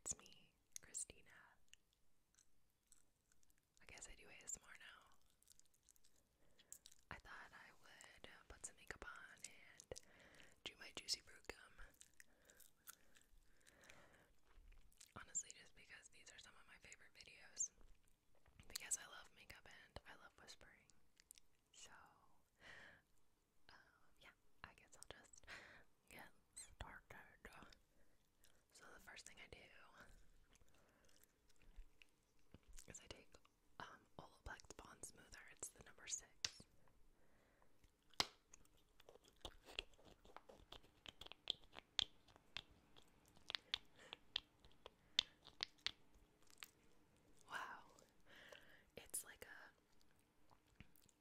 it's me, Christina. I guess I do ASMR now. I thought I would uh, put some makeup on and do my juicy fruit gum. Honestly, just because these are some of my favorite videos. Because I love makeup and I love whispering. So, yeah, I guess I'll just get started. So the first thing I do is I take um, Olaplex Bond Smoother. It's the number six. Wow, it's like a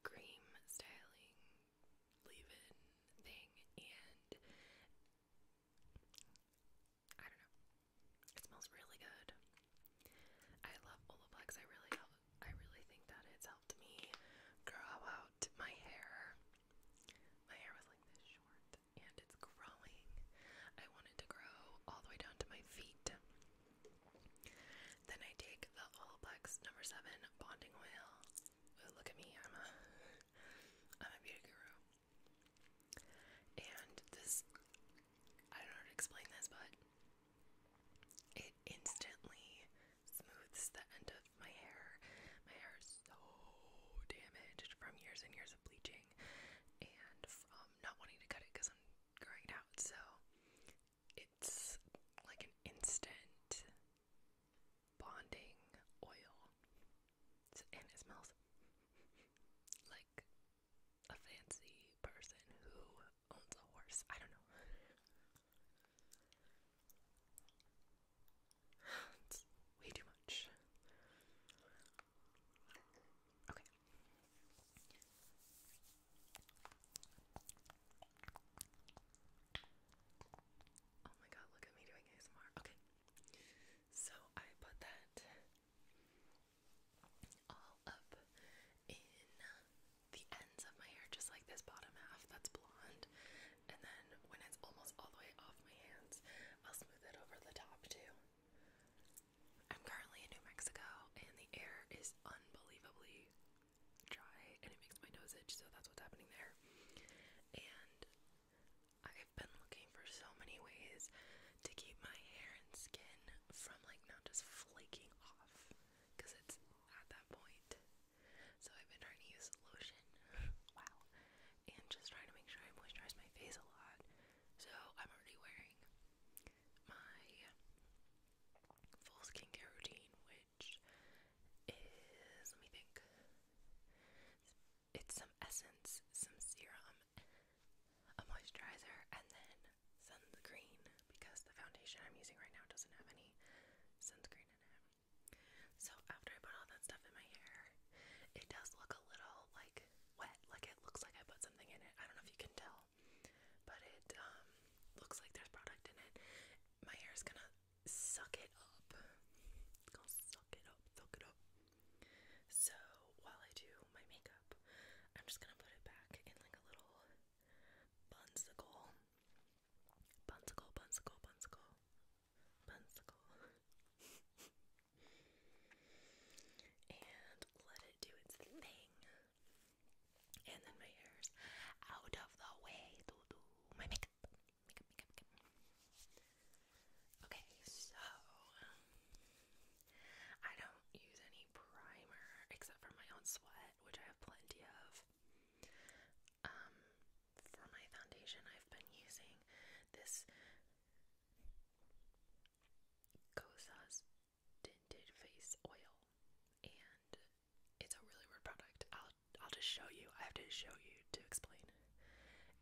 cream styling leave in thing and I don't know. It smells really good. I love Olaplex. I really I really think that it's helped me grow out my hair. My hair was like this short and it's growing. I want to grow all the way down to my feet. Then I take the Olaplex number seven bonding oil. look at me, I'm a I'm a beauty guru. And this I don't know how to explain this, but it instantly smooths the end of my hair. My hair is so damaged from years and years of bleaching and from not wanting to cut it because I'm growing it out. So it's like an instant bonding oil. and it smells like a fancy person who owns a horse. I don't know. It's way too much. Okay. Oh my god, look at me doing ASMR. Okay. So I put that all up in the ends of my hair, just like this bottom half that's blonde. And then when it's almost all the way off my hands, I'll smooth it over the top too. I'm currently in New Mexico and the air is unbelievably dry and it makes my nose itch, so that's what's happening there. And I've been looking for so many ways to keep my hair and skin from like not just flaking off because it's at that point. So I've been trying to use lotion, wow, and just trying to make sure I moisturize my face a lot. So I'm already wearing my full skincare routine, which is let me think. It's some essence, some serum, a moisturizer, and then sunscreen because the foundation I'm using right now doesn't have any sunscreen in it. So after I put all that stuff in my hair, it does look a little like wet, like it looks like I put something in it. I don't know if you can tell, all. But it um, looks like there's product in it. My hair is gonna suck it up. suck it up, suck it up. So while I do my makeup, I'm just gonna put it back in like a little bunsicle. Bunsicle, bunsicle, bunsicle. Bunsicle. and let it do its thing and then my hair's out of the way to do my makeup. Okay, so um, I don't use any primer except for my own sweat, which I have plenty of. Um, for my foundation, I've been using this Gosa's tinted face oil, and it's a really weird product. I'll I'll just show you. I have to show you to explain.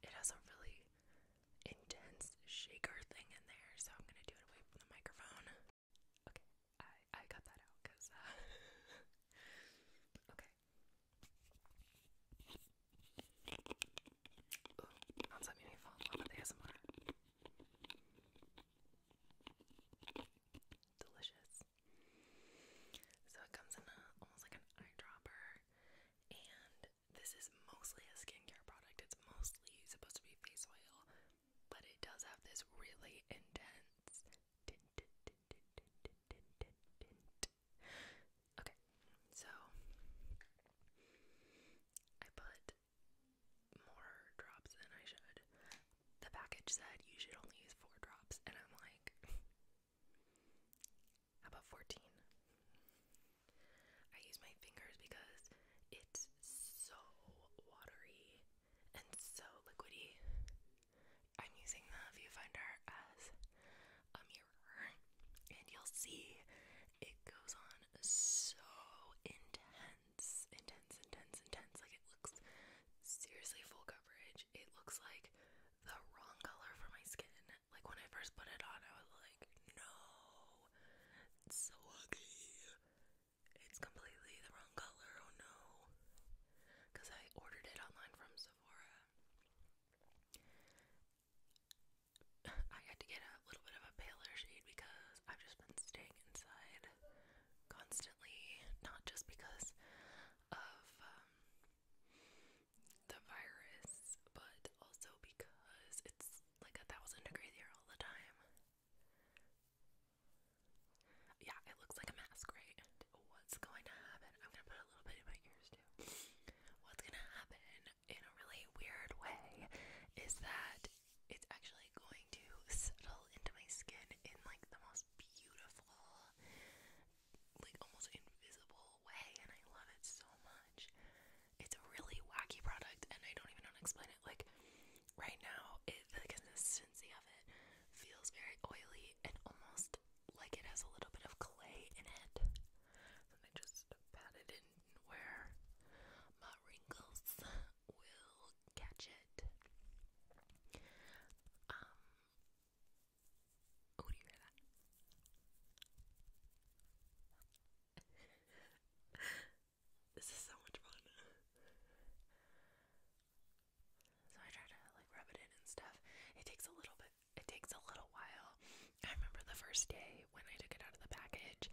It has a really intense shaker thing in there, so I'm gonna do it away from the microphone. Okay, I I cut that out because uh, okay. Delicious. So it comes in a, almost like an eyedropper, and this is mostly a skincare product. It's mostly supposed to be face oil, but it does have this really intense Okay, so I put more drops than I should. The package said you should only use four drops, and I'm like, how about 14? I use my fingers because it's so watery and so liquidy. I'm using the viewfinder as a mirror, and you'll see it goes on so intense intense, intense, intense, intense. Like it looks seriously full coverage. It looks like the wrong color for my skin. Like when I first put it on, I was like, no, it's so ugly. It's completely the wrong color. Oh no. Because I ordered it online from Sephora. I had to get a little bit of a paler shade because I've just been staying inside constantly, not just because of um, the virus, but also because it's like a thousand degrees here all the time. Yeah, it looks like a mask, right? What's going to happen? I'm gonna put a little bit in my ears too. What's gonna happen in a really weird way is that it's actually going to settle into my skin in like the most beautiful, like almost invisible way, and I love it so much. It's a really wacky product, and I don't even know to explain it. Like right now, it, the consistency of it feels very oily and almost like it has a little bit of clay in it. And I just pat it in where my wrinkles will catch it. Um, oh, do you hear that? this is so much fun. So I try to like rub it in and stuff. It takes a little bit. It takes a little while. I remember the first day when I took it out of the package.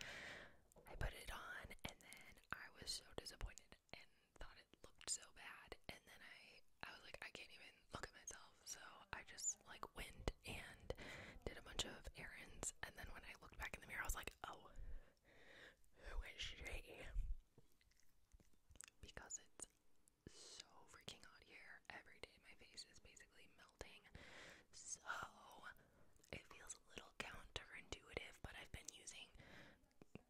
I put it on and then I was so disappointed and thought it looked so bad and then I I was like I can't even look at myself so I just like went and did a bunch of errands and then when I looked back in the mirror I was like oh who is she because it's so freaking hot here every day my face is basically melting so it feels a little counterintuitive, but I've been using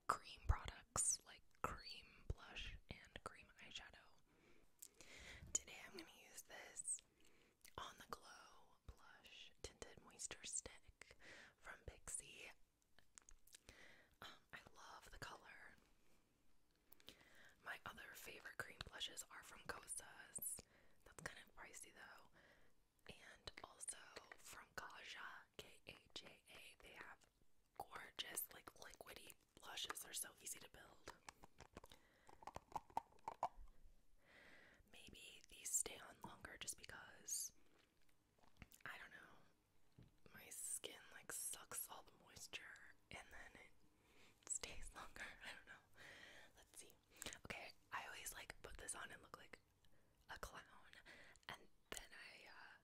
cream products like cream blush and cream eyeshadow. Today I'm going to use this On the Glow Blush Tinted moisturizer Stick from Pixie. Um, I love the color. My other favorite cream blushes are from Kosas. That's kind of pricey though and also from Kaja, K-A-J-A, they have gorgeous, like liquidy blushes. They're so easy to build. Maybe these stay on longer just because I don't know. My skin like sucks all the moisture and then it stays longer. I don't know. Let's see. Okay, I always like put this on and look like a clown, and then I uh,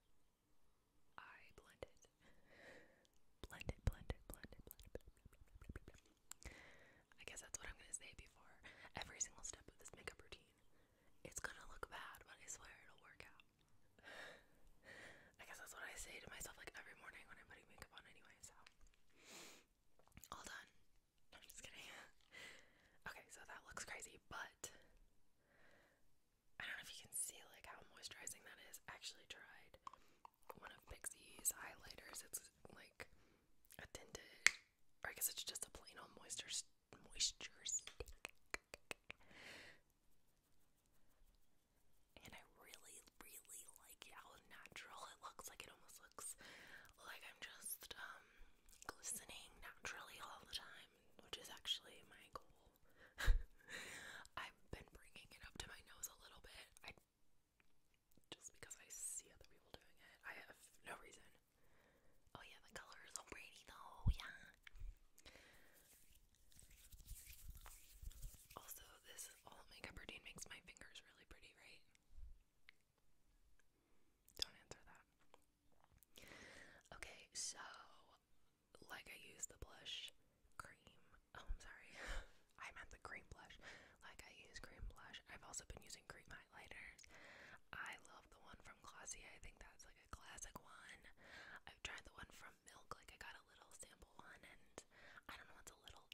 I blended, blended, blended, blended, blended. blended, blended. I guess that's what I'm gonna say before every single step of this makeup routine. It's gonna look bad, but I swear it'll work out. I guess that's what I say to myself like every morning when I'm putting makeup on anyway, so all done. I'm just kidding. okay, so that looks crazy, but I don't know if you can see like how moisturizing that is. actually tried one of Pixie's highlighters. It's like a tinted, or I guess it's just a plain old moisture moisture stick. And I really, really like how natural it looks. Like it almost looks like I'm just um glistening naturally all the time, which is actually my goal. I've been bringing it up to my nose a little bit. I just because I see other people doing it. I have no reason. Oh yeah, the color is so pretty though. Yeah. Also, this all makeup routine makes my fingers really pretty, right? Don't answer that. Okay, so like I used the blush cream. Oh, I'm sorry. I meant the cream blush. Like I use cream blush. I've also been using cream highlighters. I love the one from Glossier. I think that's like a classic one. I've tried the one from Milk. Like I got a little sample one, and I don't know. what's a little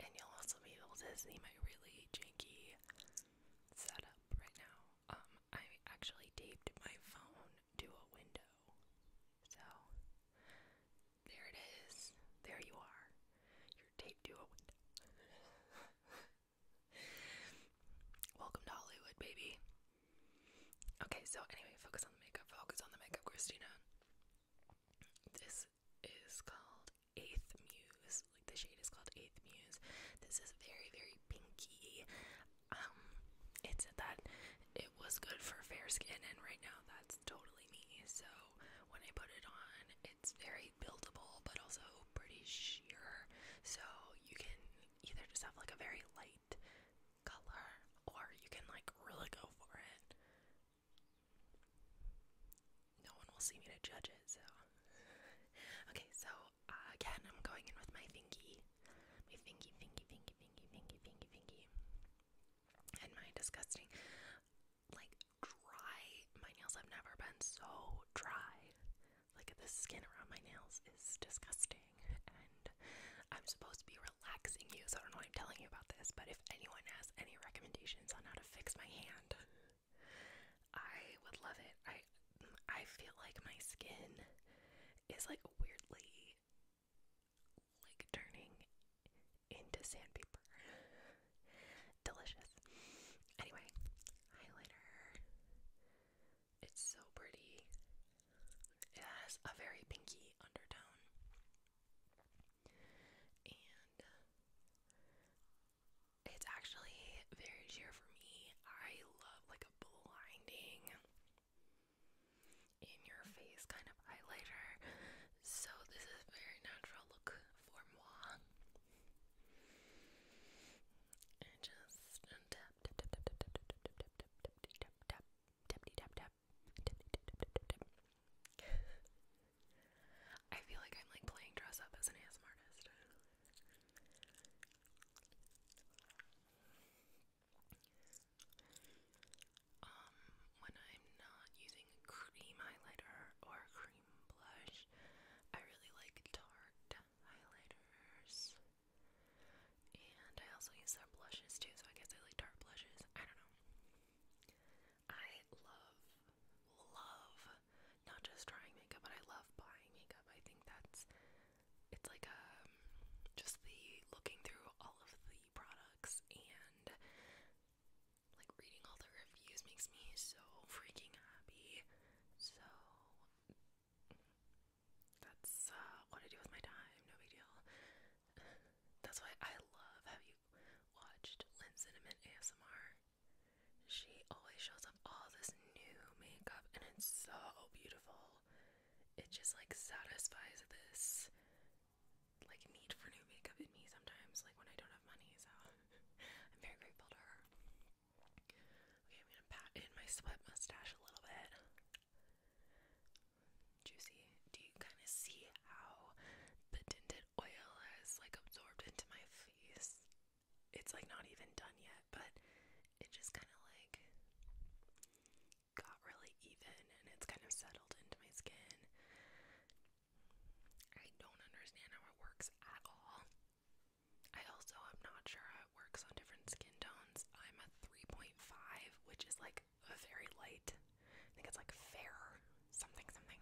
And you'll also be able to see my really janky setup right now. Um, I actually taped my phone to a window. So, there it is. There you are. You're taped to a window. Welcome to Hollywood, baby. Okay, so anyway, focus on the makeup. Focus on the makeup, Christina. This is called Eighth Muse. Like the shade is called Eighth Muse. This is very, very pinky. Um, it said that it was good for fair skin, and right now that's totally me. So when I put it on, it's very buildable, but also pretty sheer. So you can either just have like a very light color, or you can like really go for it no one will see me to judge it, so. okay, so uh, again, I'm going in with my thingy. My thingy, thingy, thingy, thingy, thingy, thingy, And my disgusting, like, dry. My nails have never been so dry. Like, the skin around my nails is disgusting. And I'm supposed to be relaxing you, so I don't know I'm telling you about this, but if anyone has any recommendations on how to fix my hand, I would love it. I I feel like my skin is like weirdly like turning into sandpaper. Delicious. Anyway, highlighter. It's so pretty. It has a very pinky undertone it's actually very sheer for me. I love like a blinding in your face kind of highlighter. So this is a very natural look for moi. And just tap tap tap tap tap tap tap tap tap tap tap tap tap tap tap I feel like I'm like playing dress up as an ASM artist. um, when I'm not using cream highlighter or cream blush, I really like Tarte highlighters. And I also use their blushes too, so I guess I like dark blushes. I don't know. I love, love not just trying makeup, but I love buying makeup. I think that's it's like a um, just the looking through all of the products and like reading all the reviews makes me so freaking happy. So that's uh, what I do with my time, no big deal. That's why I love. Have you watched Lynn Cinnamon ASMR? She always shows up all this new makeup, and it's so beautiful. It just like satisfies this like need for new makeup in me sometimes, like when I don't have money. So I'm very grateful to her. Okay, I'm gonna pat in my sweat mustache a little bit juicy. Do you kind of see how the tinted oil has like absorbed into my face? It's like not even done yet, but it just kind of like got really even and it's kind of settled into my skin. I don't understand how it works at all. I also am not sure how it works on different skin tones. I'm a 3.5, which is like like very light. I think it's like fair something something.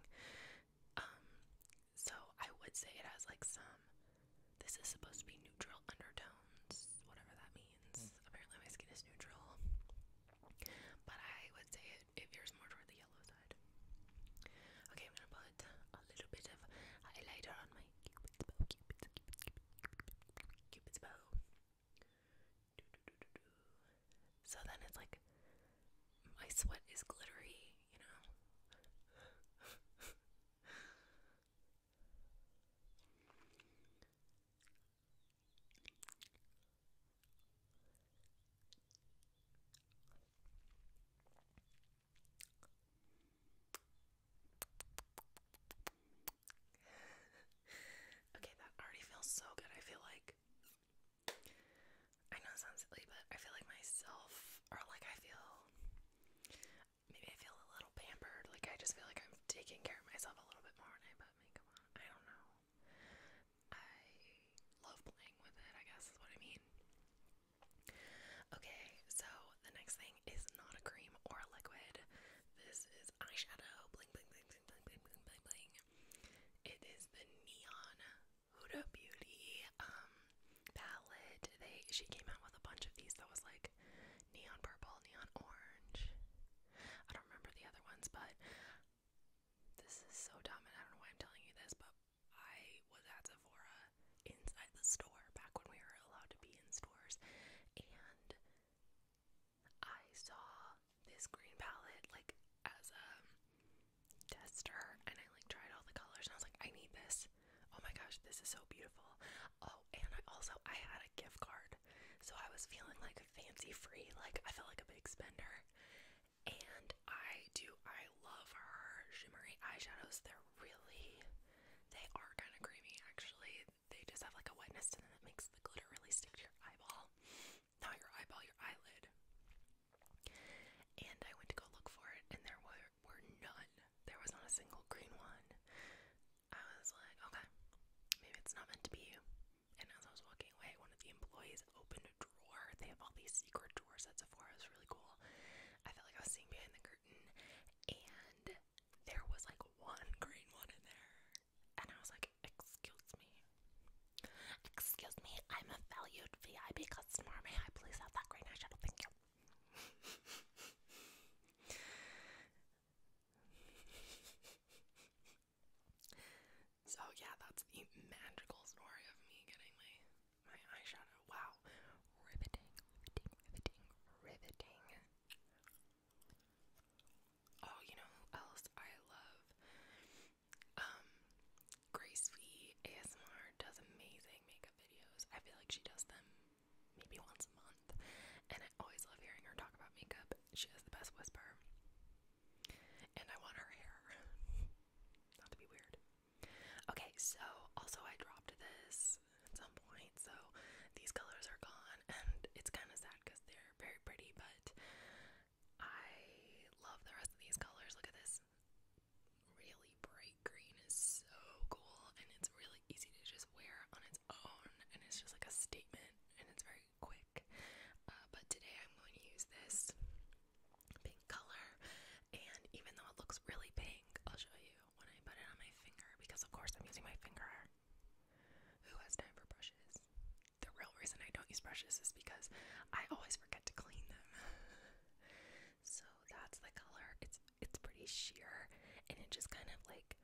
Um, so I would say it has like some. This is supposed to be neutral undertones, whatever that means. Hmm. Apparently, my skin is neutral, but I would say it, it veers more toward the yellow side. Okay, I'm gonna put a little bit of highlighter on my cupid's bow. So then it's like my sweat is glittery, you know okay, that already feels so good. I feel like I know it sounds silly, but I feel like myself, or like I feel maybe I feel a little pampered. Like I just feel like I'm taking care of myself a little bit more when I put makeup on. I don't know. I love playing with it, I guess is what I mean. Okay, so the next thing is not a cream or a liquid. This is eyeshadow. Blink, blink, blink, bling, bling, bling, bling, bling, bling. It is the Neon Huda Beauty um palette. They she came out with a bunch of these that was like neon purple, neon orange. I don't remember the other ones, but this is so dumb and I don't know why I'm telling you this, but I was at Sephora inside the store back when we were allowed to be in stores and I saw this green palette like as a tester and I like tried all the colors and I was like, I need this. Oh my gosh, this is so beautiful. Oh, and I also I had a gift card. So I was feeling like fancy free, like I felt like a big spender. And I do I love her shimmery eyeshadows. They're really they are kind of creamy actually they just have like a wetness to them that makes the glitter really stick to your eyeball. Not your eyeball, your eyelid. And I went to go look for it, and there were, were none. There was not a single green one. I was like, okay, maybe it's not meant to be. And as I was walking away, one of the employees opened a drawer. They have all these secret drawers at Sephora. It was really cool. I felt like I was seeing behind the curtain, and there was like one green one in there. And I was like, Excuse me. Excuse me, I'm a valued VIP customer. May I please have that green eyeshadow? Thank you. so, yeah, that's the magical story of me getting my, my eyeshadow. Wow. Riveting, riveting, riveting, riveting. Oh, you know who else I love? Um, Grace ASMR does amazing makeup videos. I feel like she does them maybe once a month, and I always love hearing her talk about makeup. She has the best whisper, and I want her hair. Not to be weird. Okay, so also I dropped this point, so these colors are gone, and it's kind of sad because they're very pretty, but I love the rest of these colors. Look at this really bright green is so cool, and it's really easy to just wear on its own, and it's just like a statement, and it's very quick. Uh, but today I'm going to use this pink color, and even though it looks really pink, I'll show you when I put it on my finger because, of course, I'm using my finger. Who has time for brushes? The real reason I don't use brushes is because I always forget to clean them. so that's the color. It's it's pretty sheer and it just kind of like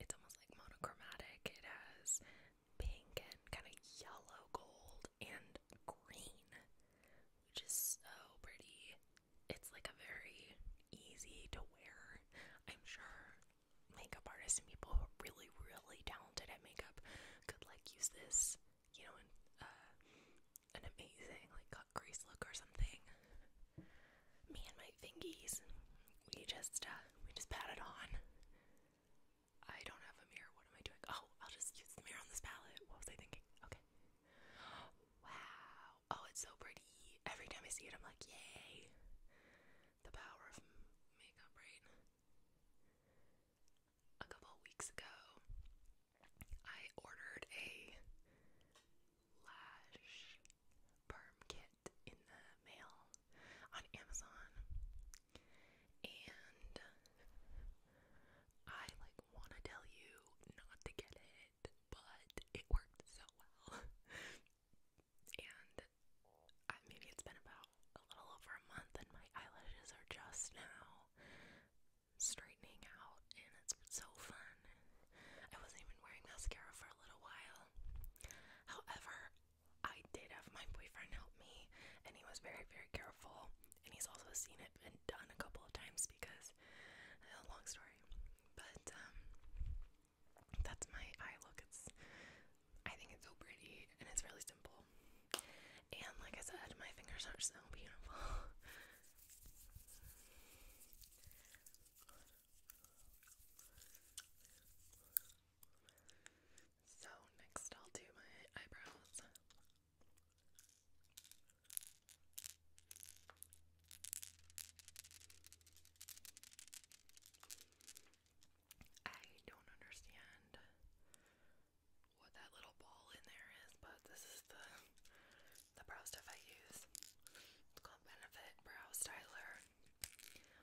it's almost like monochromatic. It has pink and kind of yellow gold and green, which is so pretty. It's like a very easy to wear, I'm sure makeup artists and people who are really, really talented at makeup could like use this, you know, in uh, an amazing like cut crease look or something. Me and my fingies, we just uh, we just pat it on. I don't have a mirror. What am I doing? Oh, I'll just use the mirror on this palette. What was I thinking? Okay. Wow, oh, it's so pretty. Every time I see it, I'm like, yay! The power of makeup, right? A couple weeks ago, I ordered a lash perm kit in the mail on Amazon, and I like want to tell you not to get it, but it worked so well. and maybe it's been about a little over a month, and my eyelashes are just now straightening out, and it's so fun. I wasn't even wearing mascara for a little while. However, I did have my boyfriend help me, and he was very, very careful. And he's also seen it been done a couple of times because, a uh, long story. But um, that's my eye look. It's I think it's so pretty and it's really simple. And like I said, my fingers are so beautiful. so next I'll do my eyebrows. I don't understand what that little ball in there is, but this is the the brow stuff I use. It's called Benefit Brow Styler.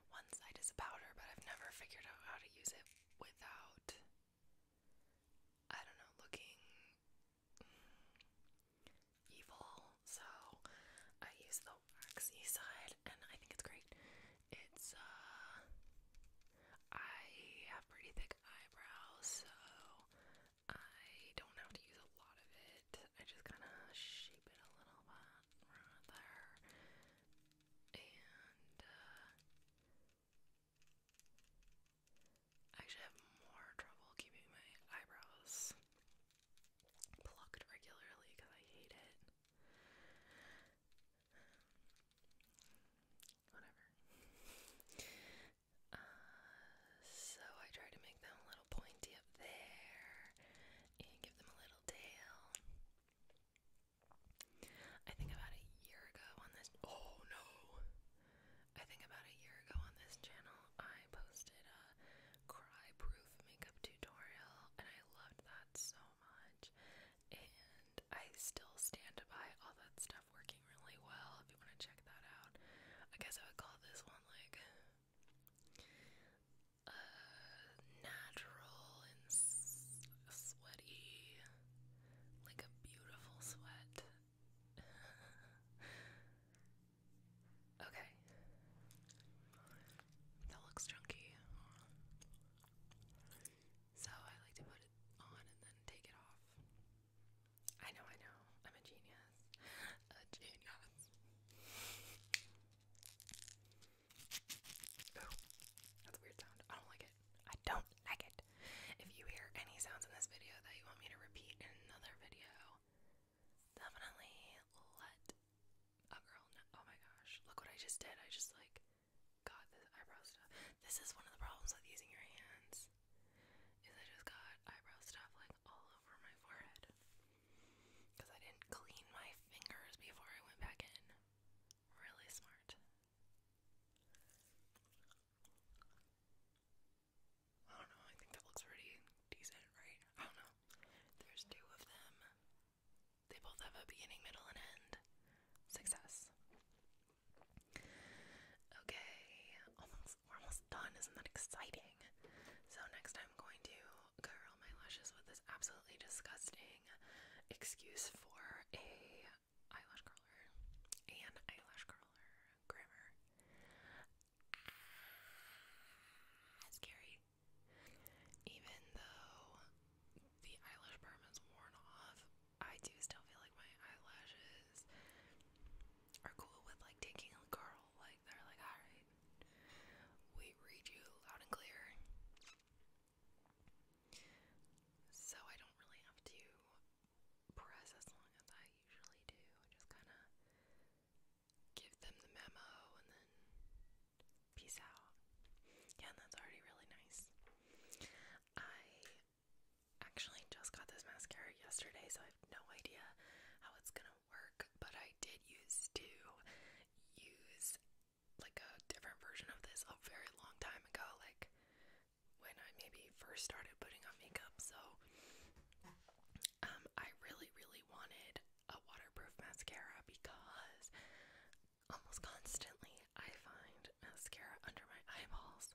One side is a powder, but I've never figured out how to use it without I don't know, looking evil, so I use the waxy side, and I think it's great. It's, uh, I have pretty thick eyebrows, so I don't have to use a lot of it. I just kind of shape it a little bit there, and uh, I actually have more trouble keeping my eyebrows plucked regularly because I hate it. Whatever. Uh, so I try to make them a little pointy up there and give them a little tail. I think about a year ago on this. Oh no! I think about a year ago on this channel, I posted uh, cry proof makeup tutorial, and I loved that so much. And I still stand by all that stuff working really well. If you want to check that out, I guess I would call this one like uh, natural and sweaty, like a beautiful sweat. Okay. That looks chunky. So I like to put it on and then take it off. I know, I know. I'm a genius. A genius. Oh, that's a weird sound. I don't like it. I don't like it. If you hear any sounds in this video that you want me to repeat in another video, definitely let a girl know. Oh my gosh, look what I just did. I just like got this eyebrow stuff. This is one of the problems with using your hands. Is I just got eyebrow stuff like all over my forehead. Because I didn't clean my fingers before I went back in. Really smart. I don't know, I think that looks pretty decent, right? I don't know. There's two of them. They both have a beginning, middle, and end. Success. Okay, almost we're almost done. Isn't that exciting? So next I'm going to curl my lashes with this absolutely disgusting excuse for a eyelash curler and eyelash curler grammar. scary. Even though the eyelash perm is worn off, I do still feel like my eyelashes are cool with like taking a curl. Like they're like, alright, we read you loud and clear. So I don't really have to press as long as I usually do. just kind of give them the memo and then peace out. Yeah, that's already really nice. I actually just got this mascara yesterday, so I have no idea how it's gonna work, but I did used to use like a different version of this a very long time ago, like when I maybe first started putting on makeup, so um, I really, really wanted a waterproof mascara because almost constantly I find mascara under my eyeballs,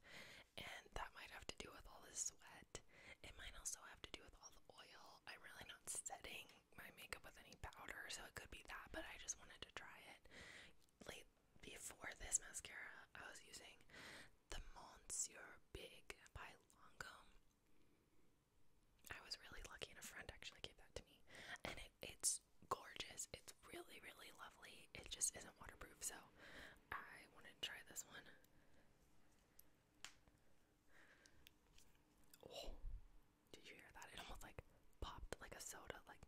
and that might have to do with all the sweat. It might also have to do with all the oil. I'm really not setting my makeup with any powder, so it could be that, but I just wanted to try it. Late before this mascara, I was using the Monsieur Big by Lancome I was really lucky, and a friend actually gave that to me. And it's gorgeous. It's really, really lovely. It just isn't waterproof, so I wanted to try this one. Oh, did you hear that? It almost like popped like a soda, like.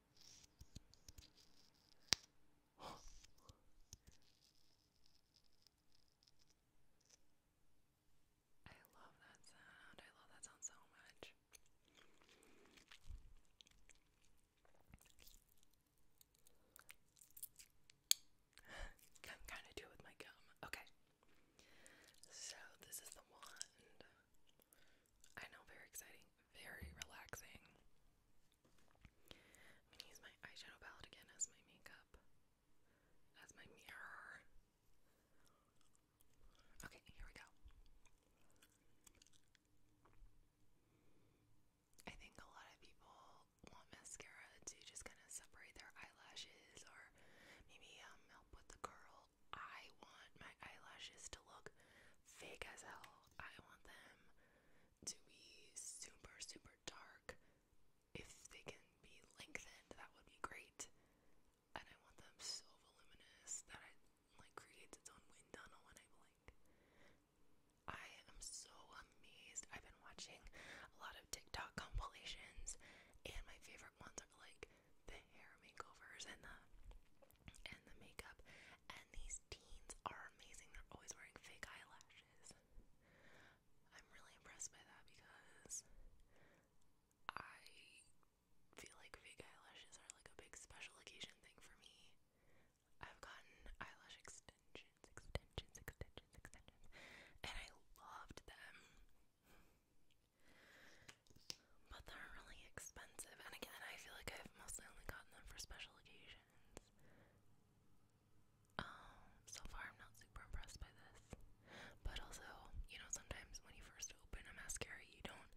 I love that sound. I love that sound so much. I'm kind of do with my gum. Okay. So this is the wand. I know, very exciting, very relaxing. I'm gonna use my eyeshadow palette again as my makeup, as my mirror. Okay, here we go. I think a lot of people want mascara to just kind of separate their eyelashes or maybe um, help with the curl I want my eyelashes to look fake as hell. I want them to be super, super dark. If they can be lengthened, that would be great. And I want them so voluminous that it like creates its own wind tunnel when I blink. I am so amazed. I've been watching a lot of TikTok compilations, and my favorite ones are like the hair makeovers and the and the makeup. And these teens are amazing. They're always wearing fake eyelashes. I'm really impressed by that because I feel like fake eyelashes are like a big special occasion thing for me. I've gotten eyelash extensions, extensions, extensions, extensions, and I loved them. But they're really expensive, and again, I feel like I've mostly only gotten them for special occasions. Um, so far I'm not super impressed by this. But also, you know, sometimes when you first open a mascara, you don't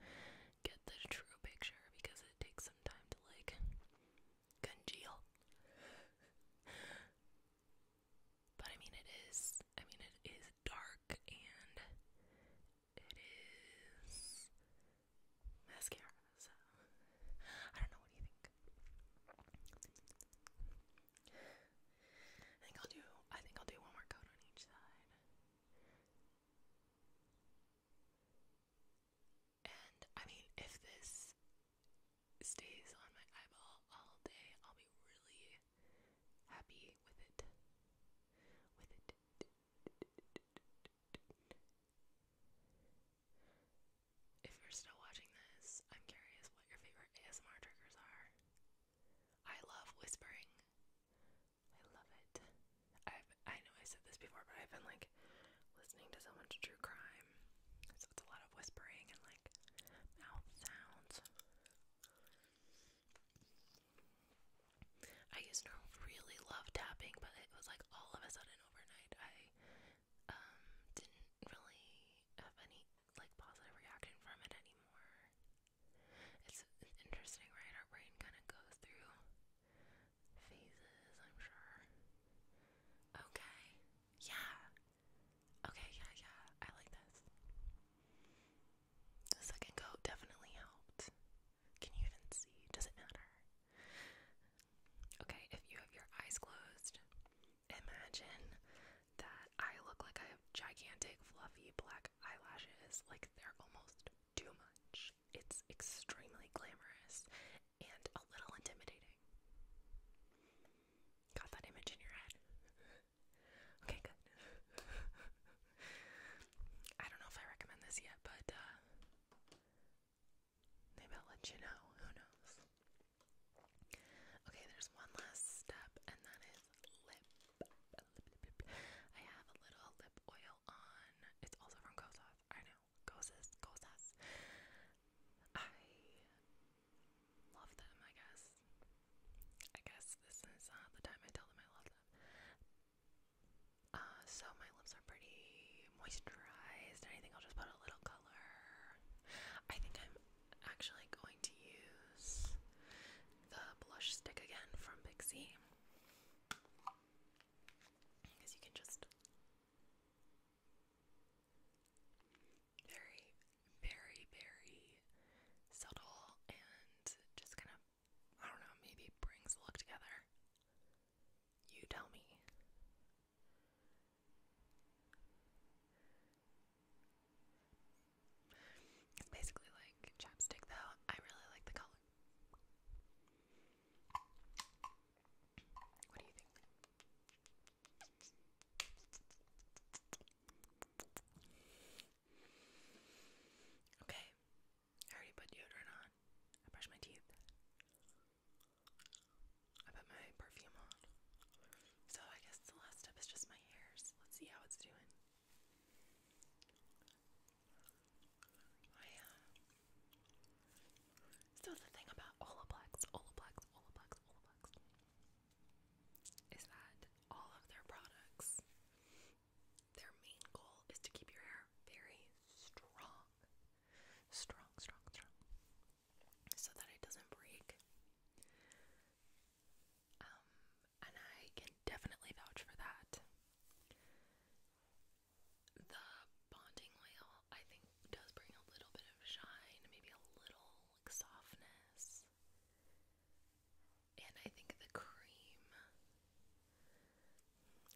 get the true picture because it takes some time to like congeal. but I mean, it is, I mean, it is dark and it is mascara, I don't know what do you think. I think I'll do I think I'll do one more coat on each side. And I mean if this stays on my eyeball all day, I'll be really happy with it. With it. If you're still watching this, I'm curious what your favorite ASMR triggers are. I love whispering. I love it. I've I know I said this before, but I've been like listening to so much true crime. So it's a lot of whispering and like mouth sounds. I used to really love tapping, but it was like all of a sudden overnight. I um, didn't really have any like positive reaction from it anymore. It's, it's interesting, right? Our brain kind of goes through phases, I'm sure. Okay, yeah. Okay, yeah, yeah. I like this. The second coat definitely helped. Can you even see? Does it matter? Okay, if you have your eyes closed, imagine that I look like I have gigantic, fluffy black eyelashes. Like they're almost too much. It's extremely glamorous and a little intimidating. Got that image in your head? okay, good. I don't know if I recommend this yet, but uh, maybe let you know. Who knows? Okay, there's one last step, and that is lip. I have a little lip oil on. It's also from Kosas. I know. Kosas. Kosas. I love them, I guess. I guess this is uh, the time I tell them I love them. Uh, so my lips are pretty moisturized. I think I'll just put a little color. I think I'm actually going to use the blush stick again from Pixie. Because you can just very, very, very subtle and just kind of I don't know, maybe brings the look together. You tell me. It's basically like chapstick, though. I really like the color. What do you think? Okay. I already put deodorant on. I brushed my teeth. I put my perfume on. So I guess the last step is just my hairs. Let's see how it's doing. I uh so the thing about Olaplex, Olaplex, Olaplex, Olaplex is that all of their products, their main goal is to keep your hair very strong. Strong, strong, strong. So that it doesn't break. Um, and I can definitely vouch for that. The bonding oil, I think, does bring a little bit of shine, maybe a little softness and I think the cream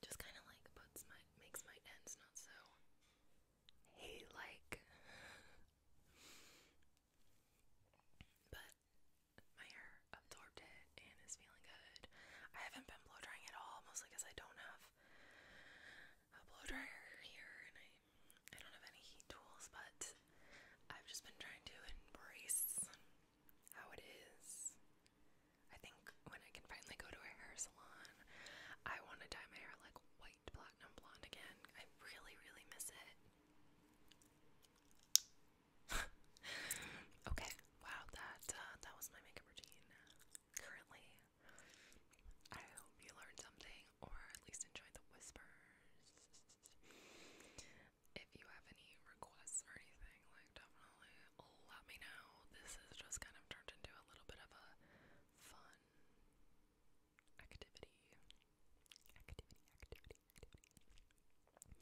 just kind of like puts my makes my ends not so hay like. But my hair absorbed it and is feeling good. I haven't been blow drying at all, mostly because I don't have a blow dryer here and I don't have any heat tools. But I've just been trying to embrace how it is. I think when I can finally go to a hair salon, I want to dye my hair like white platinum blonde again. I really, really miss it. okay, wow, that uh, that was my makeup routine. Currently, I hope you learned something, or at least enjoyed the whispers if you have any requests or anything, like definitely let me know. This has just kind of turned into a little bit of a fun activity. Activity, activity, activity.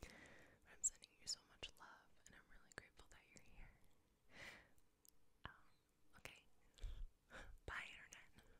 But I'm sending you so much love and I'm really grateful that you're here. Um, okay. Bye, Internet.